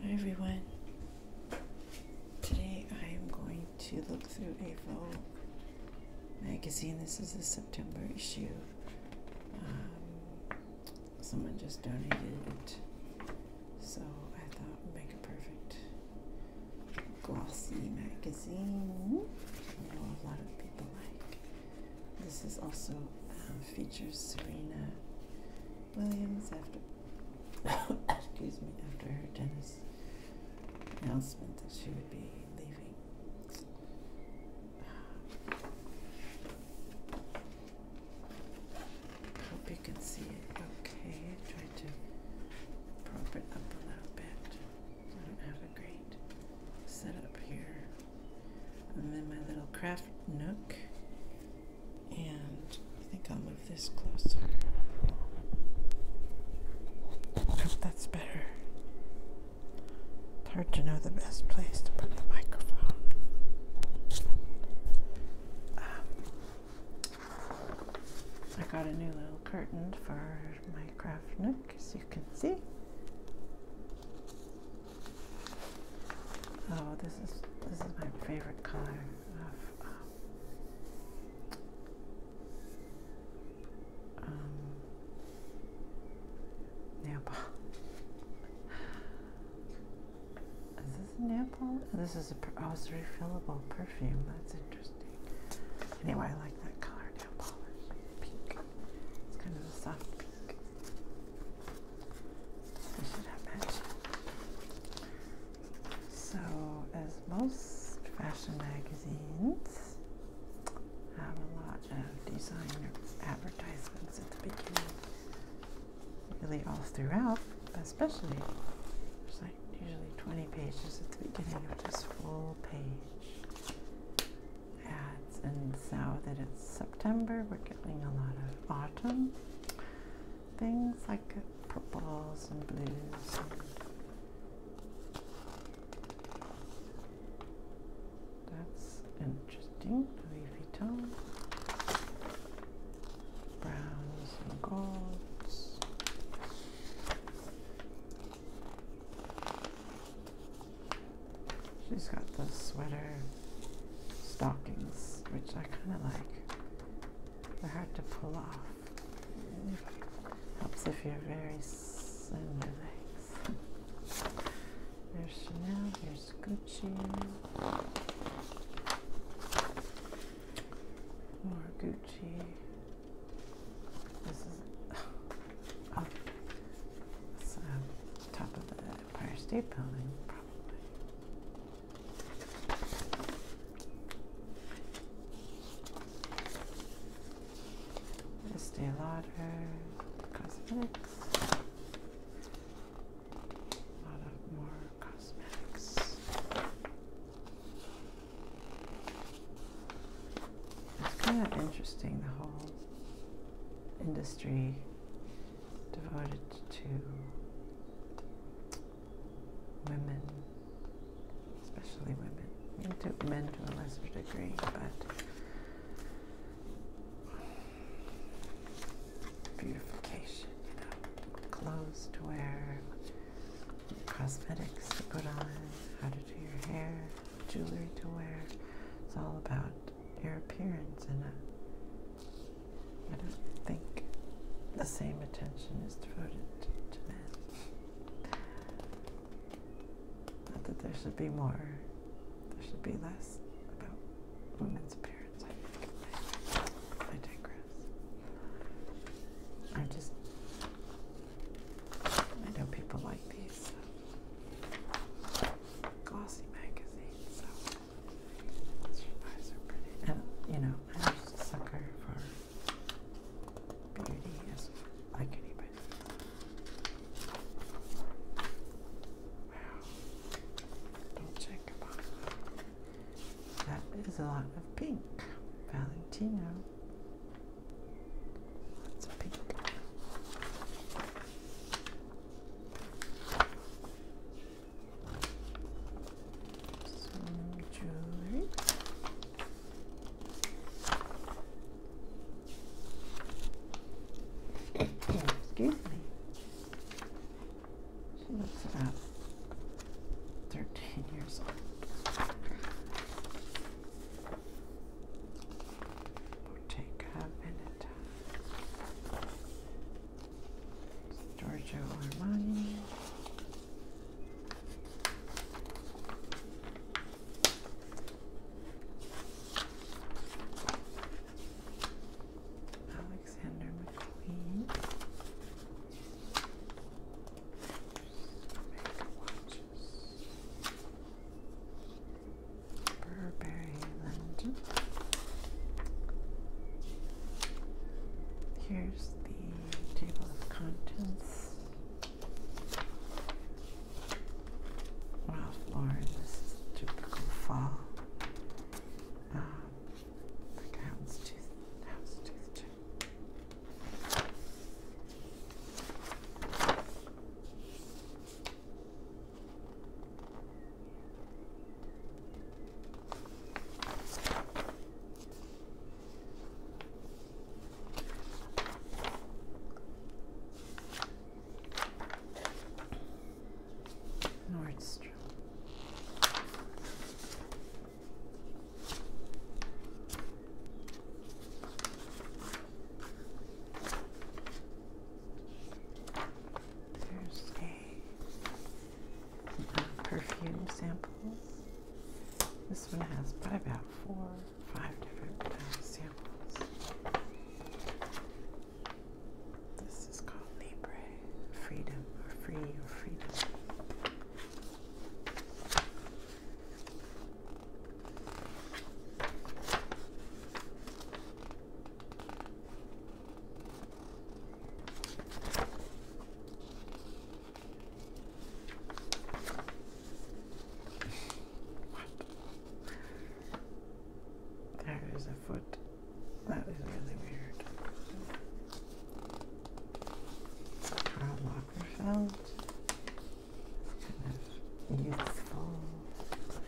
Hi everyone. Today I am going to look through a Vogue magazine. This is the September issue. Um, someone just donated it, so I thought would make a perfect glossy magazine. I know a lot of people like. This is also um, features Serena Williams after excuse me after her dentist announcement that she would be leaving. Hope you can see it okay. I tried to prop it up a little bit. I don't have a great setup here. And then my little craft nook and I think I'll move this closer. that's better. hard to know the best place to put the microphone. Um, I got a new little curtain for my craft nook, as you can see. Oh, this is this is my favorite color. Um, um, nail polish. Is this a nail polish? this is a oh, refillable perfume. That's interesting. Anyway, I like that color nail polish. Pink. It's kind of a soft pink. So, as most fashion magazines have a lot of designer advertisements at the beginning, really all throughout, but especially there's like usually 20 pages at the beginning of this full page ads. And now that it's September, we're getting a lot of autumn things like purples and blues. That's interesting. Louis Vuitton. Browns and golds. She's got the sweater stockings, which I kind of like. They're hard to pull off. Helps if you're very slender legs. There's Chanel, there's Gucci. More Gucci. This is oh, up uh, top of the Empire State Building, probably. Estee Lauder cosmetics. A lot of more cosmetics. It's kind of interesting the whole industry devoted to women, especially women, men to, a lesser degree, but beautification, clothes to wear, cosmetics to put on, how to do your hair, jewelry to wear. It's all about your appearance and I don't think the same attention is devoted to men. Not that there should be more, there should be less about women's appearance, I digress. I just, I know people like these glossy magazines, your are pretty. And, you know, I'm just a sucker for beauty as I can even. Wow. Don't check about that. That is a lot of pink. Valentino. Lots of pink. Excuse me. She looks about 13 years old. 14 take a minute. Giorgio Armani. Alexander McQueen. Burberry London. Here's the table of contents. Wow, Lauren, this is typical fall. Um, like a hound's tooth, Nordstrom. Thursday perfume samples. This one has probably about four, five different samples. This is called Libre Freedom, or Free, or Freedom. There is a foot. That is really weird. Karl Lagerfeld. Kind youthful.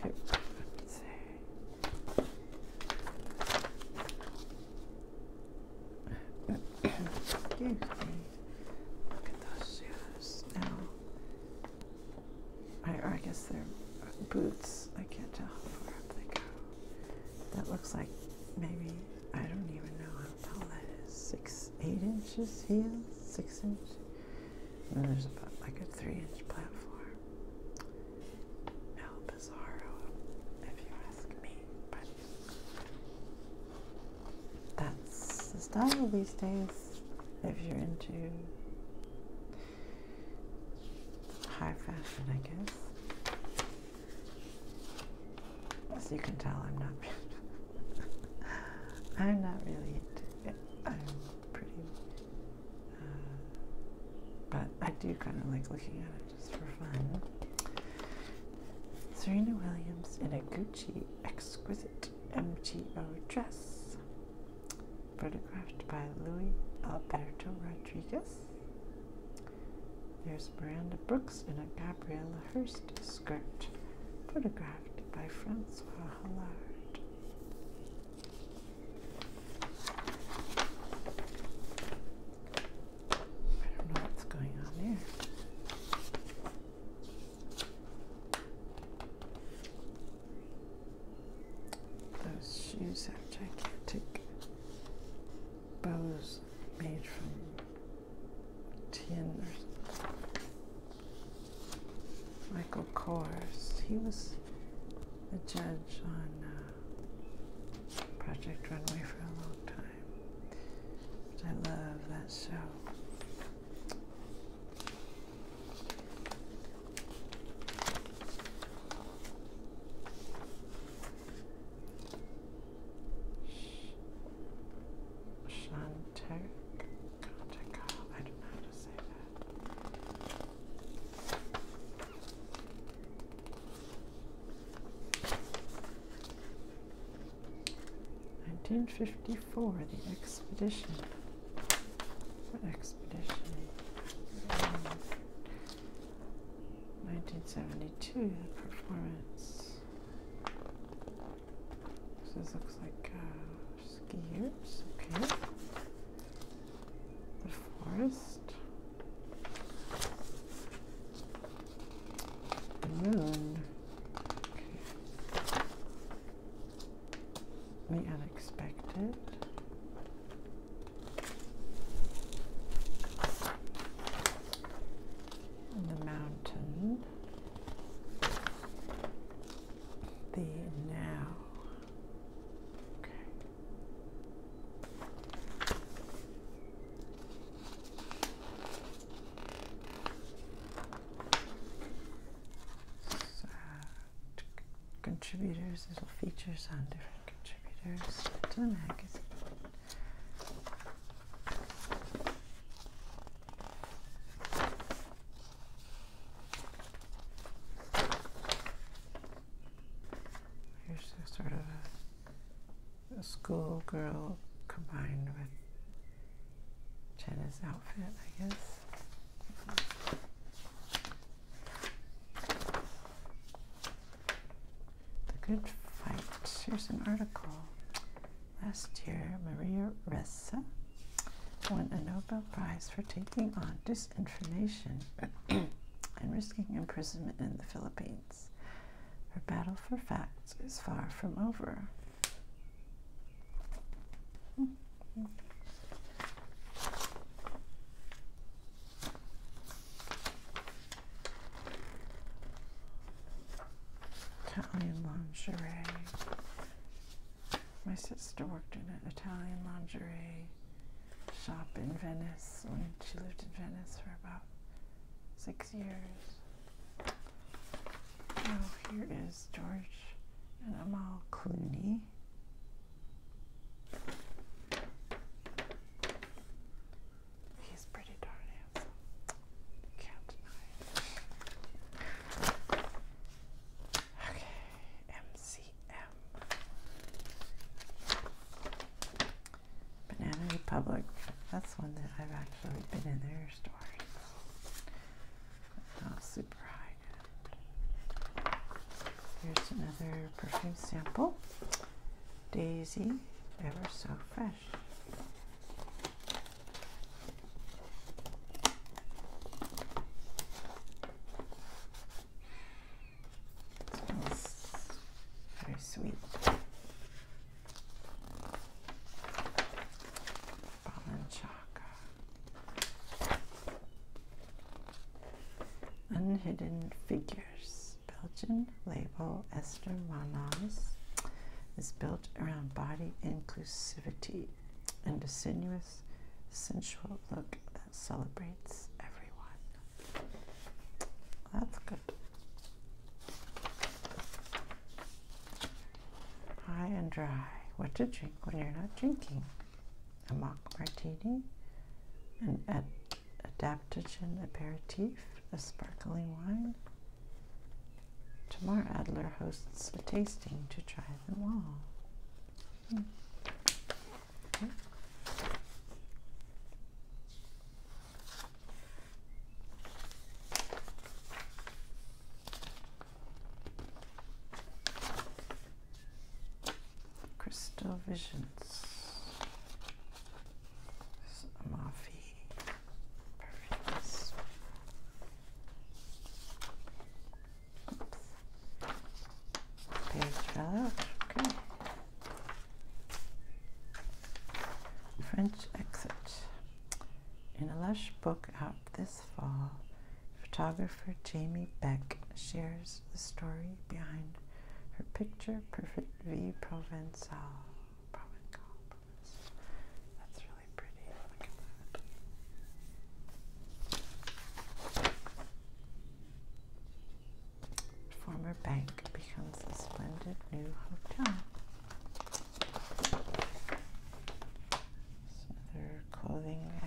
I would say. Excuse me. Look at those shoes now. I, I guess they're uh, boots. I can't tell how far up they go. That looks like maybe, I don't even know how tall that is. Six, eight inches heels? Six inch. And then there's about like a three inch platform. El Bizarro, if you ask me. But that's the style these days if you're into high fashion, I guess. As you can tell, I'm not. I'm not really into it. I'm pretty, uh, but I do kind of like looking at it. Serena Williams in a Gucci exquisite MGO dress, photographed by Louis Alberto Rodriguez. There's Miranda Brooks in a Gabriella Hearst skirt, photographed by Francois Hollard. I don't know what's going on there. Those shoes have gigantic bows made from tin Michael Kors, he was a judge on uh, Project Runway for a long time. I love that show. Shantek I don't know how to say that. 1954, the expedition. expedition? 1972, performance. this looks like uh, skiers, okay. The forest. The moon. The unexpected. the mountain. The now. Okay contributors, little features on different contributors to the magazine. Here's sort of a schoolgirl combined with Jenna's outfit, I guess. The Good Fight. Here's an article. Last year, Maria Ressa won a Nobel Prize for taking on disinformation and risking imprisonment in the Philippines. Her battle for facts is far from over. Italian lingerie. My sister worked in an Italian lingerie shop in Venice when she lived in Venice for about six years. Oh, here is George and Amal Clooney. He's pretty darn handsome. Can't deny it. Okay, MCM. Banana Republic. That's one that I've actually been in their stores. Not super high. Here's another perfume sample. Daisy, ever so fresh. very sweet. Balenciaga. Unhidden Figures. Belgian label Esther Manas is built around body inclusivity and a sinuous, sensual look that celebrates everyone. That's good. High and dry. What to drink when you're not drinking. A mock martini, an ad adaptogen aperitif, a sparkling wine. Tomorrow Adler hosts a tasting to try them all. Hmm. Crystal Visions. Amafi. Perfect. Page out. Okay. French exit. In a lush book out this fall, photographer Jamie Beck shares the story behind her picture perfect V Provençal. That's really pretty. Former bank becomes a splendid new hotel. So they're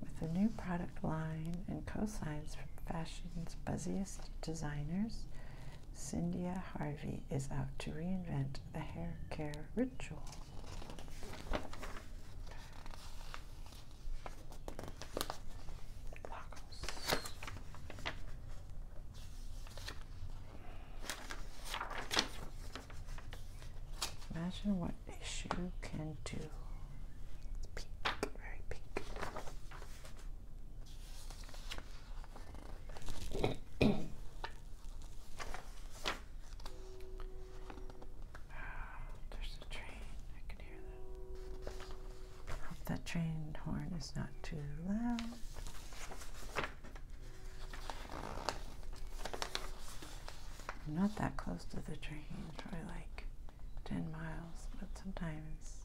With a new product line and cosigns from fashion's buzziest designers, Cynthia Harvey is out to reinvent the hair care ritual. Imagine what a shoe can do. It's pink, very pink. Ah, there's a train. I can hear Hope that train horn is not too loud. I'm not that close to the train, probably like 10 miles, but sometimes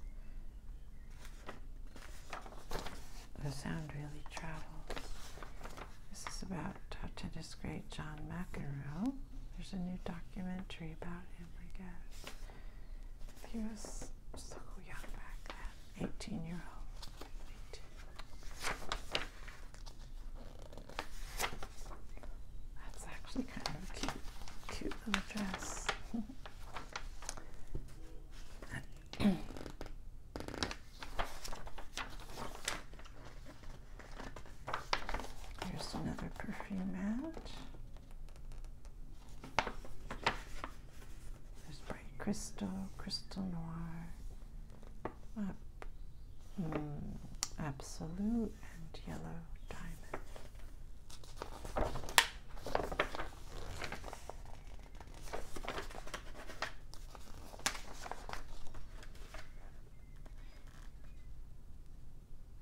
the sound really travels. This is about how to discreet John McEnroe. There's a new documentary about him, I guess. He was so young back then, 18 year old. That's actually kind of cute, cute little dress. Here's another perfume match. There's bright crystal, crystal noir, uh, mm, absolute, and yellow diamond.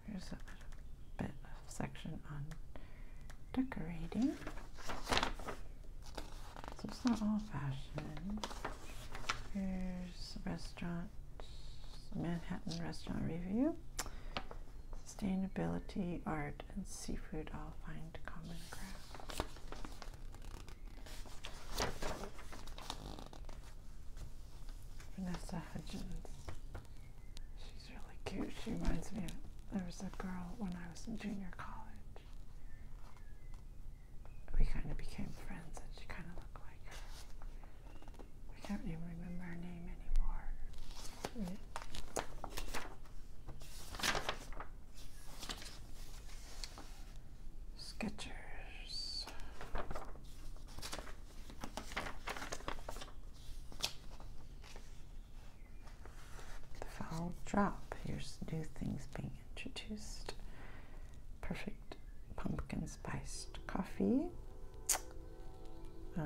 There's a bit of section on decorating. So it's not all fashion. Here's restaurant, Manhattan restaurant review. Sustainability, art, and seafood all find common ground. Vanessa Hudgens. She's really cute. She reminds me of there was a girl when I was in junior college. We kind of became friends and she kind of looked like her. I can't even remember her name anymore. Mm the vowel drop. Here's new things being introduced. Perfect pumpkin spiced coffee. Uh,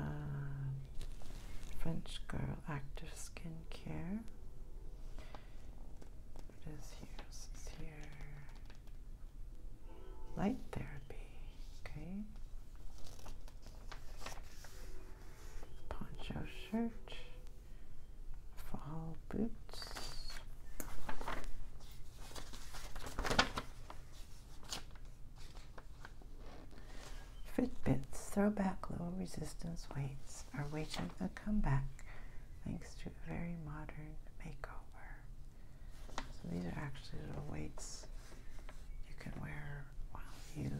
French Girl Active Skincare. What is here? This here. Light therapy. Okay. Poncho shirt. Fall boots. Fitbits throwback low resistance weights are waging a comeback thanks to a very modern makeover. So these are actually little weights you can wear while you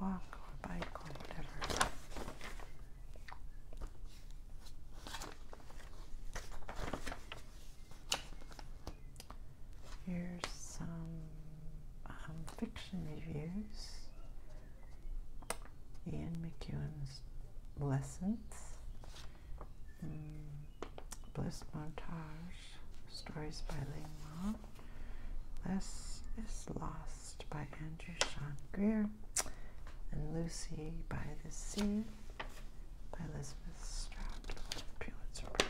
walk or bike or whatever. Here's some um, fiction reviews. Ian McEwen's Lessons Mm, Bliss Montage, Stories by Ling Less is Lost by Andrew Sean Greer, and Lucy by the Sea by Elizabeth Strout. Pulitzer Prize.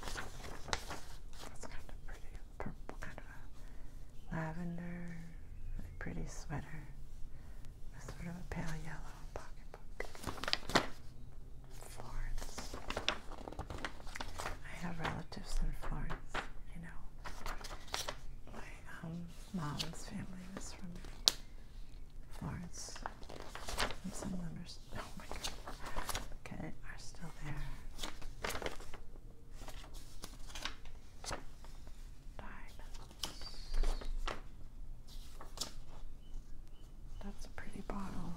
That's kind of pretty. Purple, kind of lavender, pretty sweater. With sort of a pale yellow pocketbook. Florence. I have relatives in Florence, you know. My um, mom's family was from Florence some of oh my god, okay, are still there. Diamonds. That's a pretty bottle.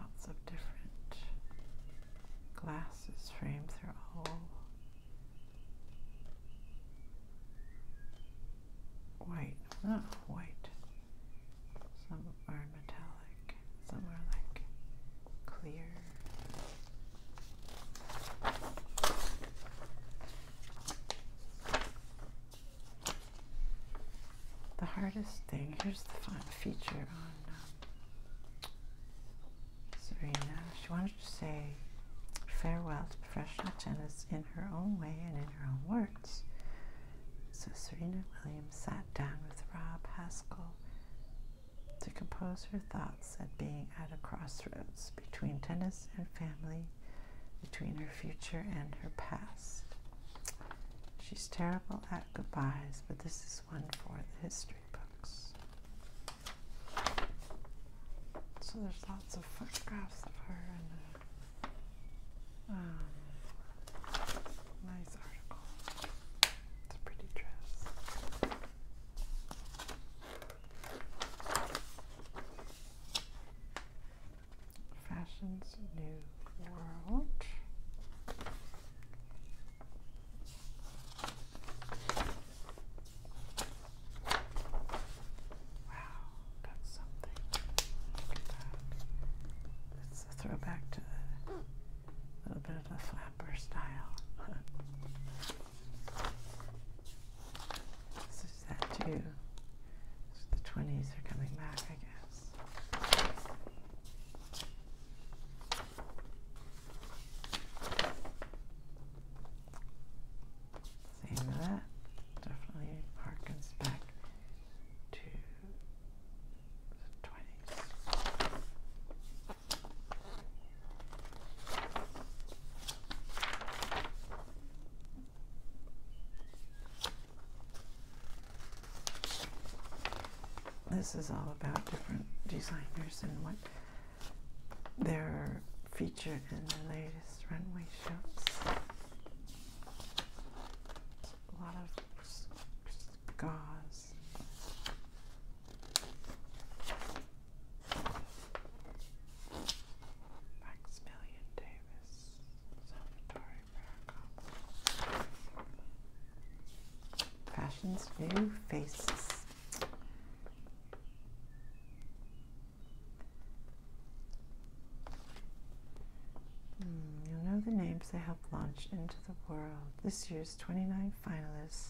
Lots of different glasses framed through all white, not white, some metallic, some like clear. The hardest thing, here's the fun feature on um, Serena, she wanted to say farewell to professional tennis in her own way and in her own words. So Serena Williams sat down with Rob Haskell to compose her thoughts at being at a crossroads between tennis and family, between her future and her past. She's terrible at goodbyes, but this is one for the history books. So there's lots of photographs of her and a uh, um, nice article. It's a pretty dress. Fashion's New World. Wow, got something. Look It's a throwback to the little bit of the flapper style. this is that too. the twenties are coming back, I guess. Same that. Definitely harkens back to the 20s. This is all about different designers and what they're featured in the latest runway shows. A lot of gauze. Maximilian Davis, Salvatore Veracruz. Fashion's new faces. Hmm, you'll know the names they helped launch into the world. This year's 29 finalists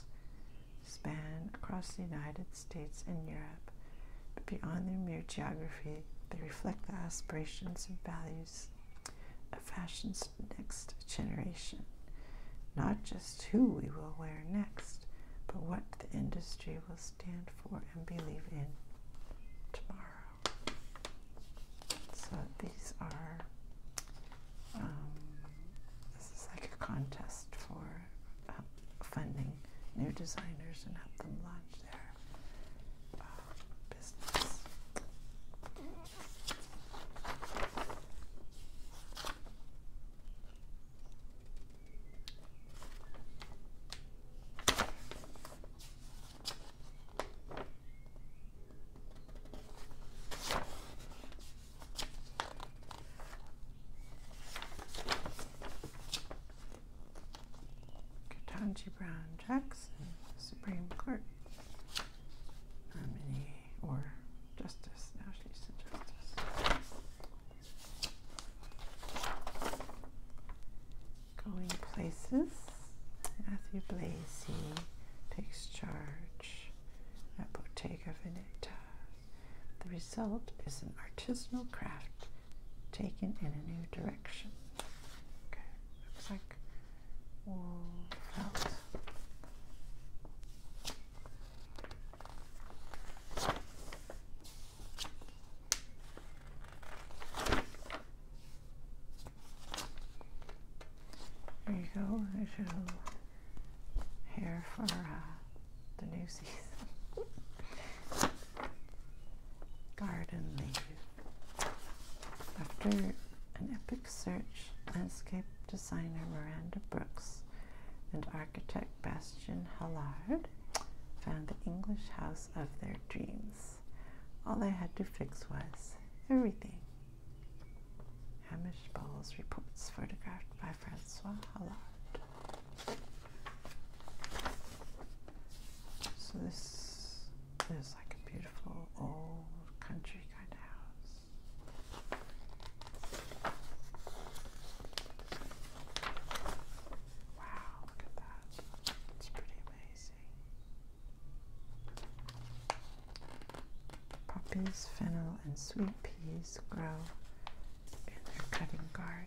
span across the United States and Europe, but beyond their mere geography, they reflect the aspirations and values of fashion's next generation. Not just who we will wear next, but what the industry will stand for and believe in tomorrow. So these are, um, this is like a contest for uh, funding new designers and help them launch their uh, business. Katanji Brown Jackson, Supreme Court. Nominee or Justice. Now she's in Justice. Going places. Matthew Blasey takes charge at Bottega Veneta. The result is an artisanal craft taken in a new direction. Okay, looks like wool felt. There you go, there's for uh, the new season. Garden leave. After an epic search, landscape designer Miranda Brooks and architect Bastian Hallard found the English house of their dreams. All they had to fix was everything. Hamish Bowles reports photographed by Francois Hallard. So this is like a beautiful old country kind of house. Wow, look at that. It's pretty amazing. Poppies, fennel, and sweet peas grow in their cutting garden.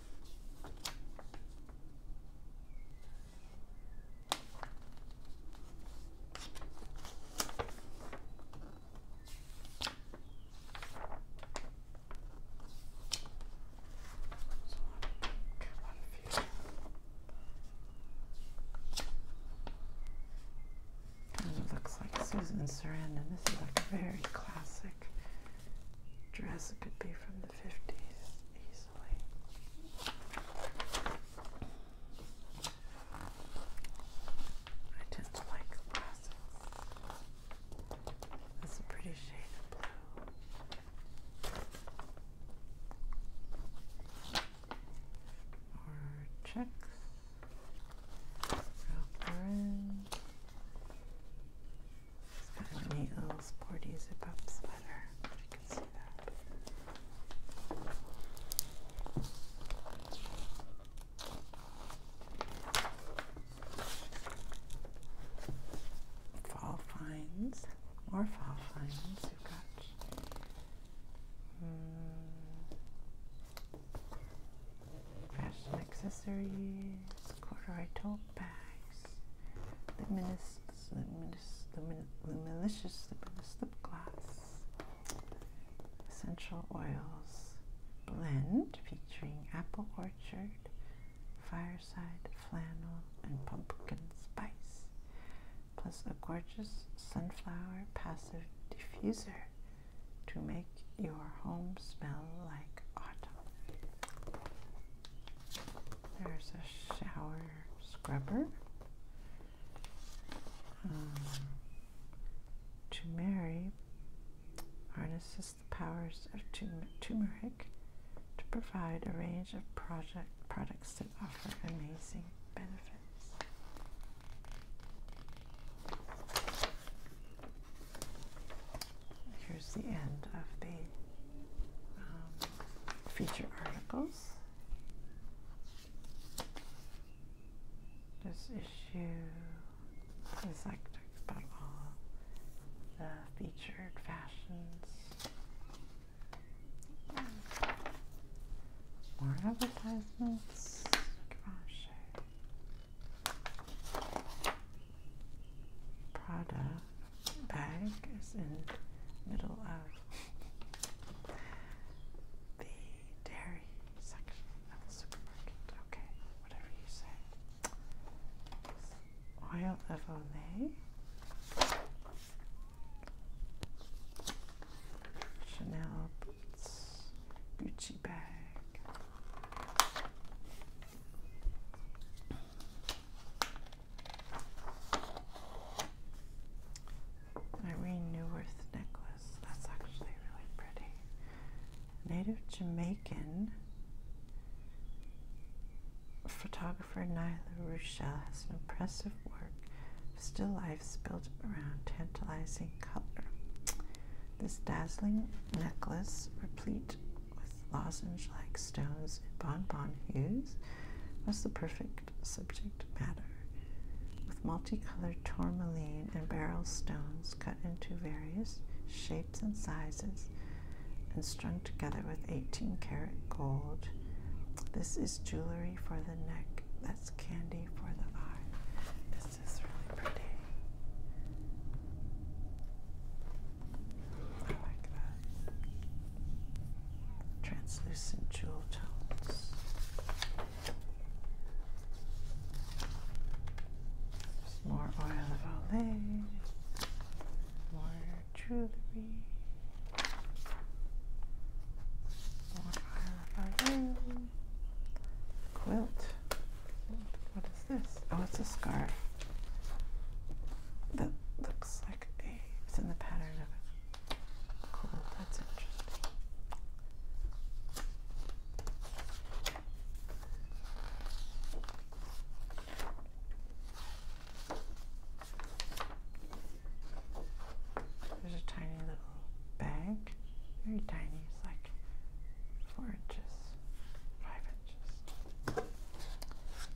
looks like Susan Sarandon. This is like a very classic dress. It could be from fifties easily. I tend to like glasses. It's a pretty shade of blue. Or checks. Ralph Lauren. Stephanie L's Porty Zip Up sweater. If you can see that. Fall finds, more fall finds. We've got mm, fashion accessories, corduroy tote bags, luminous, luminous, luminous, minis, the, the malicious, the lip gloss, essential oils blend featuring apple orchard, fireside flannel, and pumpkin spice, plus a gorgeous sunflower passive diffuser to make your home smell like autumn. There's a shower scrubber. Um, to marry harnesses the powers of turmeric to provide a range of project products that offer amazing benefits. Here's the end of the um, feature articles. This issue is like talks about all the featured fashions. More advertisements. Prada bag is in the middle of the dairy section of the supermarket. Okay, whatever you say. Oil of Olay. Chanel boots, Gucci bag. Irene Newworth necklace. That's actually really pretty. Native Jamaican photographer Nyla Rushell has an impressive work of still life built around tantalizing color. This dazzling necklace, replete with lozenge-like stones in bonbon hues was the perfect subject matter, with multicolored tourmaline and barrel stones cut into various shapes and sizes and strung together with 18 carat gold. This is jewelry for the neck, that's candy for the eye. This is really pretty. I like that. Translucent jewel tones. There's more oil of Olay. More jewelry. More oil of Olay. Quilt. What is this? Oh, it's a scarf that looks like it's in the pattern of it. Cool, that's interesting. There's a tiny little bag, very tiny, it's like four inches, five inches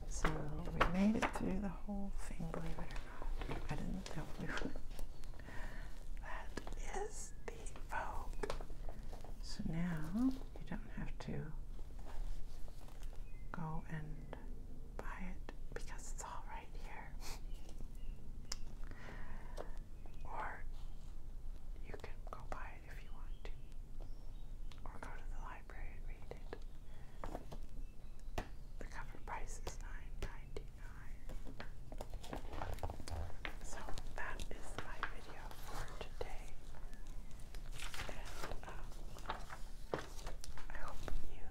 so we made it through the whole thing, believe it or not. I didn't tell you. that is the Vogue. So now you don't have to go and buy it because it's all right here. or you can go buy it if you want to. Or go to the library. The cover price is 9 So that is my video for today. And um, I hope you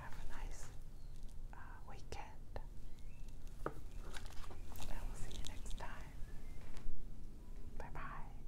have a nice uh, weekend. And we'll see you next time. Bye bye.